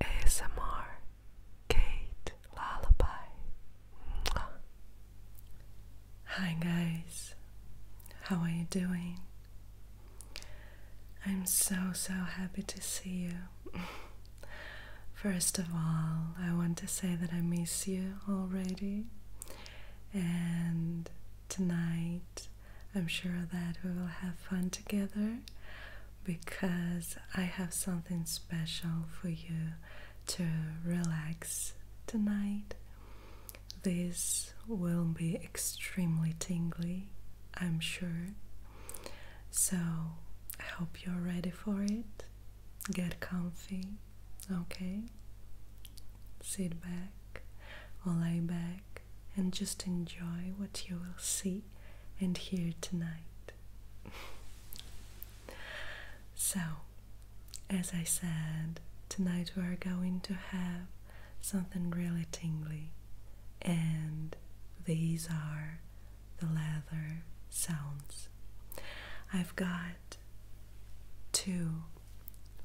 ASMR Kate Lullaby. Hi guys, how are you doing? I'm so so happy to see you. First of all, I want to say that I miss you already, and tonight I'm sure that we will have fun together because I have something special for you to relax tonight. This will be extremely tingly, I'm sure. So, I hope you're ready for it. Get comfy, okay? Sit back or lay back and just enjoy what you will see and hear tonight. so, as I said, tonight we are going to have something really tingly, and these are the leather sounds. I've got two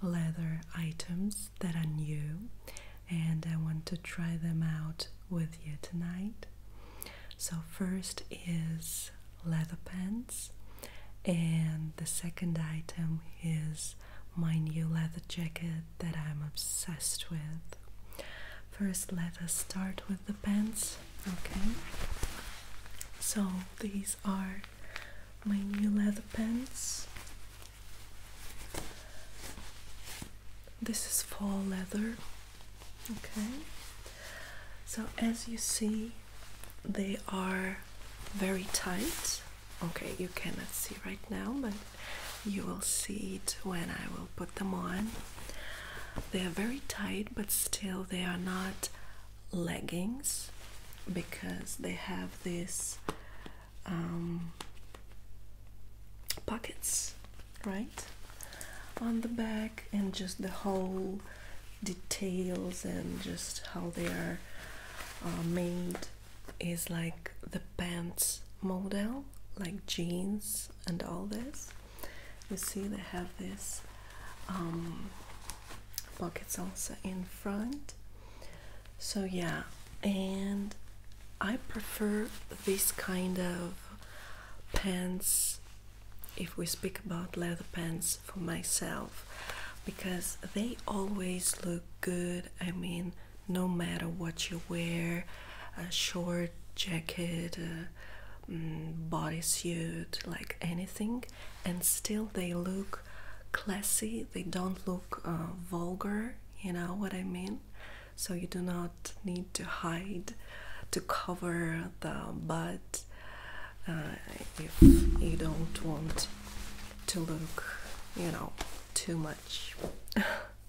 leather items that are new and I want to try them out with you tonight. So, first is leather pants, and the second item is my new leather jacket that I'm obsessed with. First, let us start with the pants, okay? So, these are my new leather pants this is fall leather okay so as you see they are very tight okay you cannot see right now but you will see it when I will put them on they are very tight but still they are not leggings because they have this um, pockets right on the back and just the whole details and just how they are uh, made is like the pants model like jeans and all this you see they have this um, pockets also in front so yeah and I prefer this kind of pants if we speak about leather pants for myself because they always look good i mean no matter what you wear a short jacket a mm, bodysuit like anything and still they look classy they don't look uh, vulgar you know what i mean so you do not need to hide to cover the butt, uh, if you don't want to look, you know, too much.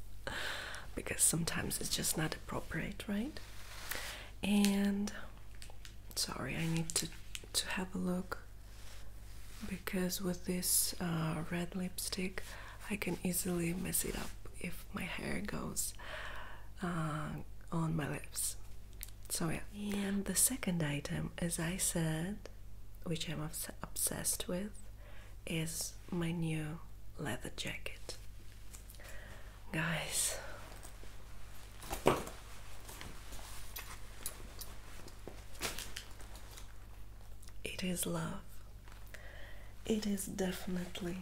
because sometimes it's just not appropriate, right? And sorry, I need to to have a look because with this uh, red lipstick I can easily mess it up if my hair goes uh, on my lips. So, yeah. And the second item, as I said, which I'm obsessed with, is my new leather jacket. Guys. It is love. It is definitely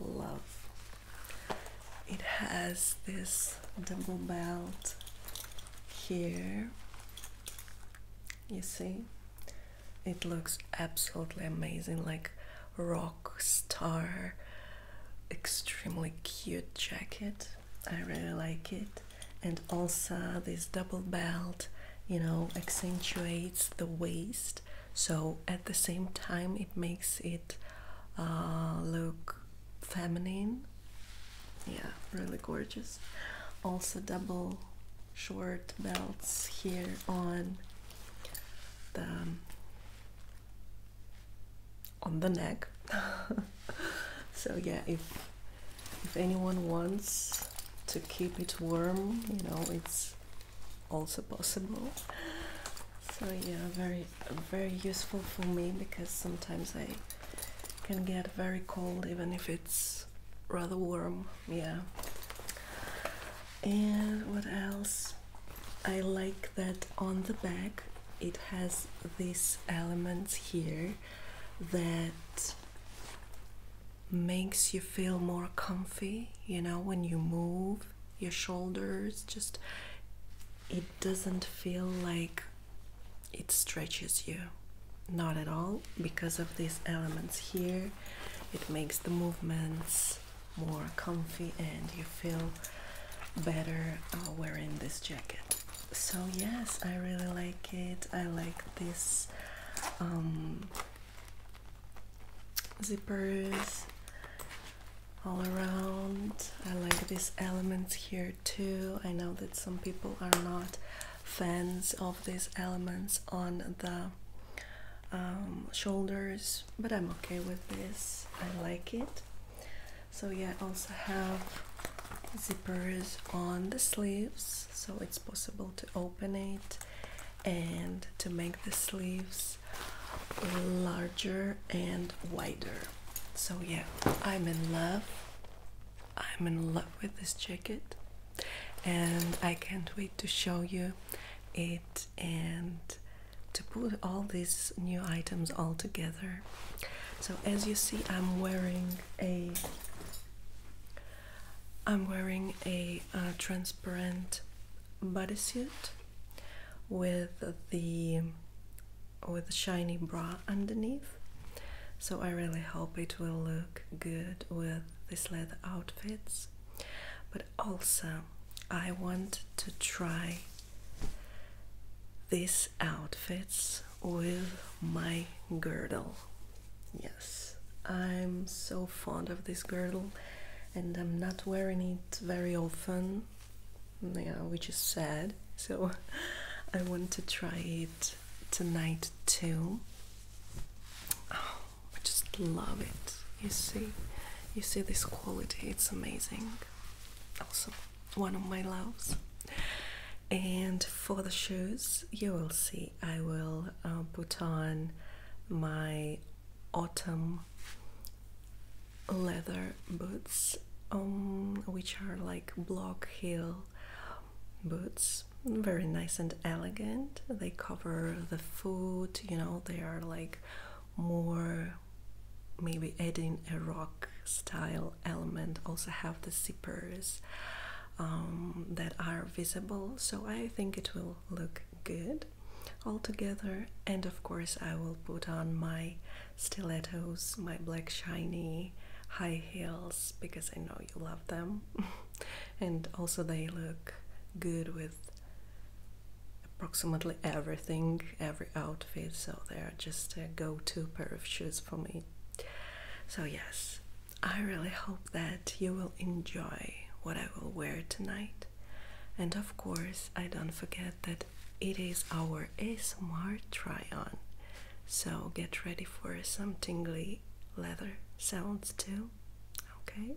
love. It has this double belt here. You see? It looks absolutely amazing, like rock star, extremely cute jacket. I really like it. And also, this double belt, you know, accentuates the waist so at the same time it makes it uh, look feminine yeah really gorgeous also double short belts here on the on the neck so yeah if if anyone wants to keep it warm you know it's also possible. So yeah, very very useful for me because sometimes I can get very cold even if it's rather warm. Yeah. And what else? I like that on the back it has these elements here that makes you feel more comfy, you know, when you move your shoulders, just it doesn't feel like it stretches you, not at all, because of these elements here. It makes the movements more comfy and you feel better uh, wearing this jacket. So, yes, I really like it. I like this. Um, zippers all around. I like these elements here too. I know that some people are not fans of these elements on the um, shoulders, but I'm okay with this. I like it. So yeah, also have zippers on the sleeves, so it's possible to open it and to make the sleeves larger and wider. So, yeah, I'm in love. I'm in love with this jacket, and I can't wait to show you it and to put all these new items all together. So, as you see, I'm wearing a I'm wearing a uh, transparent bodysuit with the with a shiny bra underneath. So I really hope it will look good with these leather outfits. But also I want to try these outfits with my girdle Yes, I'm so fond of this girdle and I'm not wearing it very often, yeah, which is sad. So I want to try it tonight too. Oh, I just love it. You see, you see this quality, it's amazing. Also, one of my loves. And for the shoes, you will see I will uh, put on my autumn leather boots, um, which are like block heel boots, very nice and elegant. They cover the foot, you know, they are like more maybe adding a rock style element, also have the zippers. Um, that are visible, so I think it will look good all together and of course I will put on my stilettos my black shiny high heels because I know you love them and also they look good with approximately everything every outfit so they're just a go-to pair of shoes for me so yes I really hope that you will enjoy what I will wear tonight. And of course, I don't forget that it is our ASMR try on. So get ready for some tingly leather sounds too. Okay?